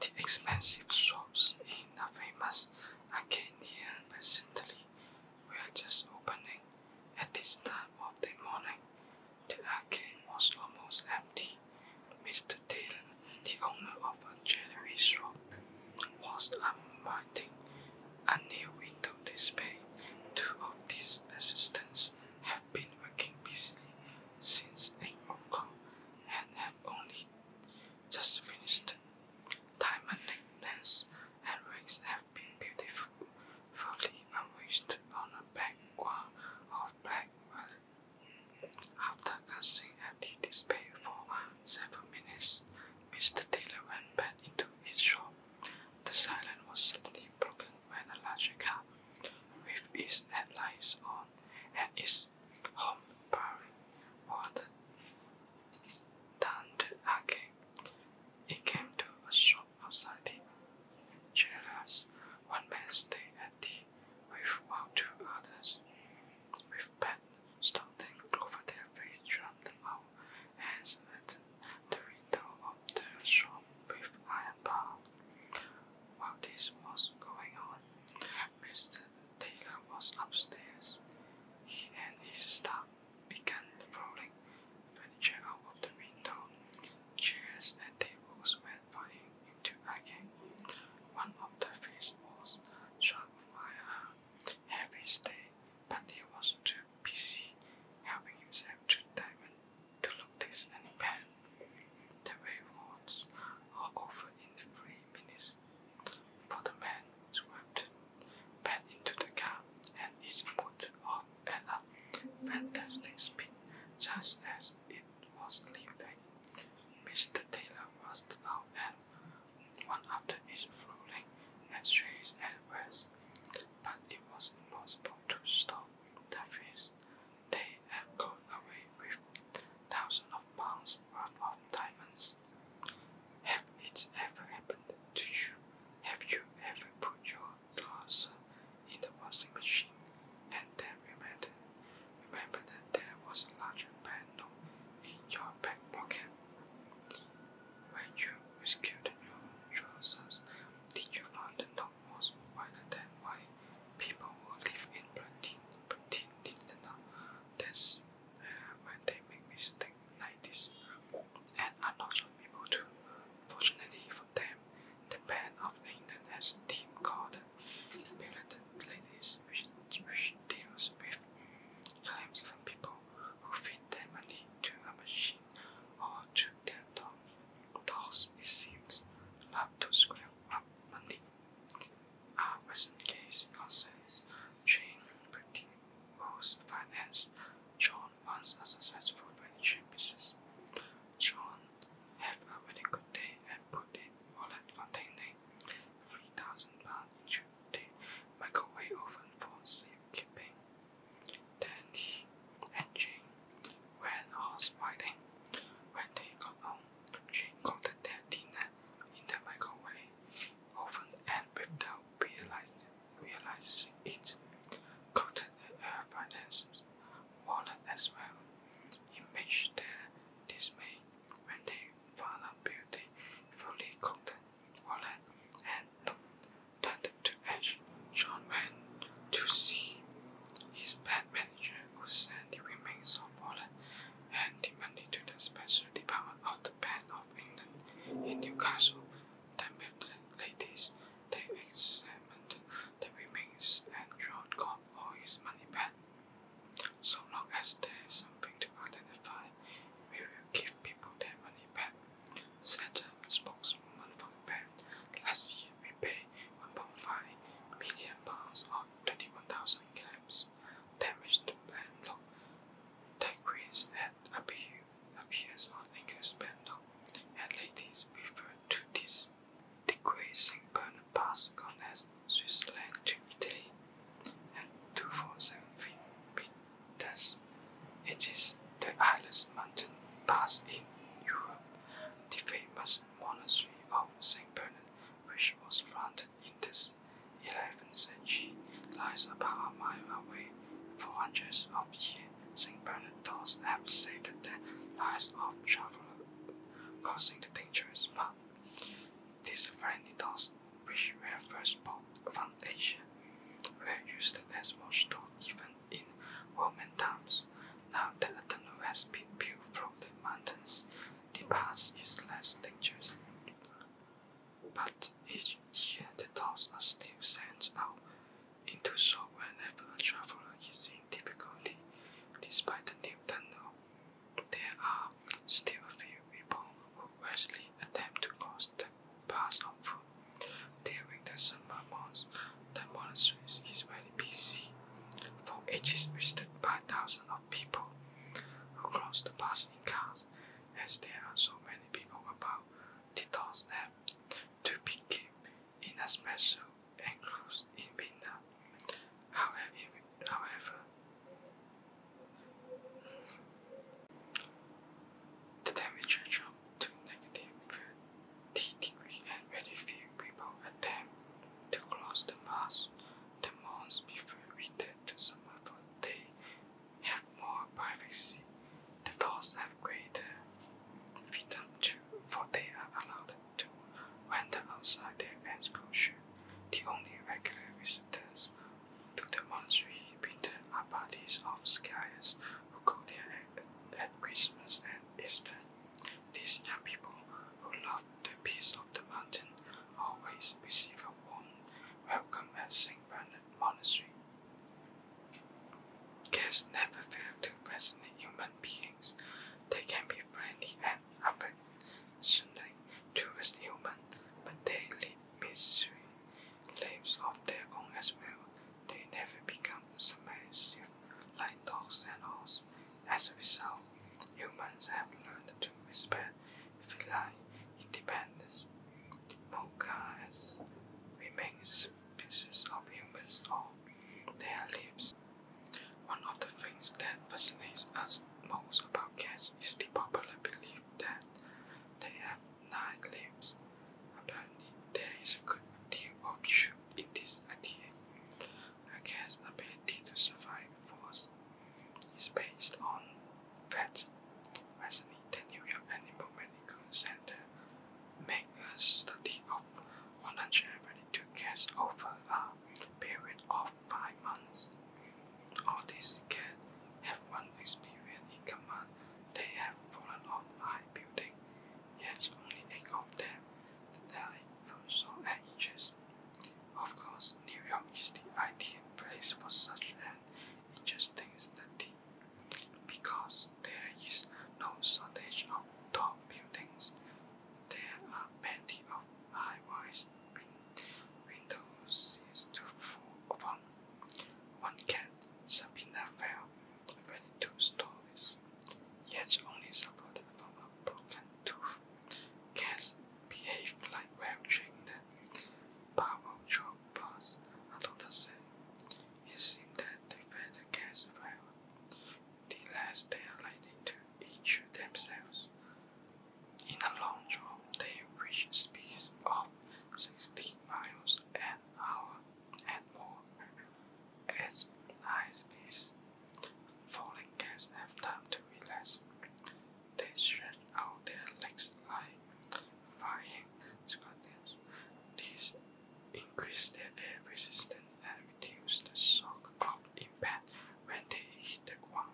The expensive shops in the famous arcade near were just opening at this time of the morning. The arcade was almost empty. Mr. Taylor, the owner of a jewelry shop, was unwinding a new window display. Two of these assistants have have been working busily since eight o'clock and have only just finished. Time and neatness and race have been beautiful, beautifully arranged on a background of black velvet. After gazing at the display for seven minutes, Mr. Taylor went back into his shop. The silence was suddenly broken when a larger car with its headlights on and its home bearing wandered down It came to a shop outside the jailers. One man stayed at the with while two others with pet starting over their face drummed out and the window of the shop with iron bars. While this was going on, Mr. Taylor was upstairs. He and his staff began throwing furniture out of the window. Chairs and tables went flying into agony. One of the fish was shot by a heavy stay, but he was too busy helping himself to diamonds to look this and pen. The waveforms are over in three minutes, for the man swept back into the car and is put off at a fantastic speed, just as it was leaving. Mr. Taylor was loud and one after his rolling ashtrays and was but it was impossible to stop the thieves. They had got away with thousands of pounds worth of diamonds. Have it ever happened to you? Have you ever put your clothes in the washing machine and then remember, remember that there was a larger banknote in your back pocket? When you rescued your trousers, did you find the knot was wider than why people who live in Britain, Britain did the knot? That's uh, when they make mistakes like this. And a lot of people too. Fortunately for them, the Bank of England has a team called Militant Ladies which, which deals with claims from people who feed their money to a machine or to their dog. it seems, love to square up money. Our present case concerns Jane Pretty, whose finance John runs a successful furniture business. John had a very good day and put in wallet containing £3,000 into the microwave oven for safekeeping. Then he and Jane went horse When they got home, Jane cooked their dinner in the microwave often and without realizing, it, cooked their finances, wallet as well. It matched their dismay when they found out Beauty fully cooked wallet had turned to ash. John went to see his bank manager who sent the remains of wallet and the money to the special department of the Bank of England in Newcastle. The ladies they examined the remains and John got all his money back. So long as there is something to identify, we will give people their money back Saturn spokesman for the bank last year we paid 1.5 million pounds or 21,000 claims damage to landlord. Decrease had appeal, appears on English landlord, and ladies refer to this decreasing burner pass as Switzerland to Italy at 247 Thus, it is the highest mountain pass in Europe, the famous monastery of St. Bernard, which was founded in the 11th century, lies about a mile away. For hundreds of years, St. Bernard dogs have saved the lives of travelers, causing the dangerous path. These friendly dogs which were first built from Asia, were used as watchdog even in Roman times. Now that a tunnel has been built from the mountains, the pass is less dangerous. But each year the dogs are still sent out into so whenever a traveler is in difficulty. Despite the new tunnel, there are still a few people who rashly attempt to cross the parts of food. During the summer months, the monastery is very busy, for it is visited by thousands of people across the passing cars, as there are so many people about the doors have to be kept in a special enclosed in winter. However, however, the temperature dropped to negative 30 degrees and very few people attempt to cross the pass. The monks before we did to summer for they have more privacy. The dogs have greater freedom too, for they are allowed to wander outside their enclosure. The only regular visitors to the monastery Peter are parties of skiers who go there at, Christmas and Easter. These young people who love the peace of the mountain always receive a warm welcome at St. Bernard Monastery. Guests never fail to fascinate human beings. They can be friendly and affectionate towards humans, but they lead misery lives of their own as well. They never become submissive like dogs and horses. As a result, humans have learned to respect feline independence. Mocha has remained species of humans all their lives. One of the things that fascinates us most about cats is the popular belief that they have nine limbs. Apparently, there is a good deal of truth in this idea. A cat's ability to survive falls is based on that. Recently, the New York Animal Medical Center made a study of 132 cats over a period of five months. All these can have one experience in common. They have fallen off high building, yet only eight of them died from shot and injuries. Of course, New York is the ideal place for such an interesting study, because there is no shortage of tall buildings. There are plenty of high-rise buildings. Windows is to full of one. Um, one cat, Sabina, fell 22 stories, yet only supported from a broken tooth. Cats behave like well-trained power choppers, said. It seems that they fed the cats well. The less they are likely to injure themselves. In a long jump, they reach speeds of 60 miles an hour and more. At high speeds, falling cats have to relax. They stretch out their legs like flying squirrels. This increases their air resistance and reduces the shock of impact when they hit the ground.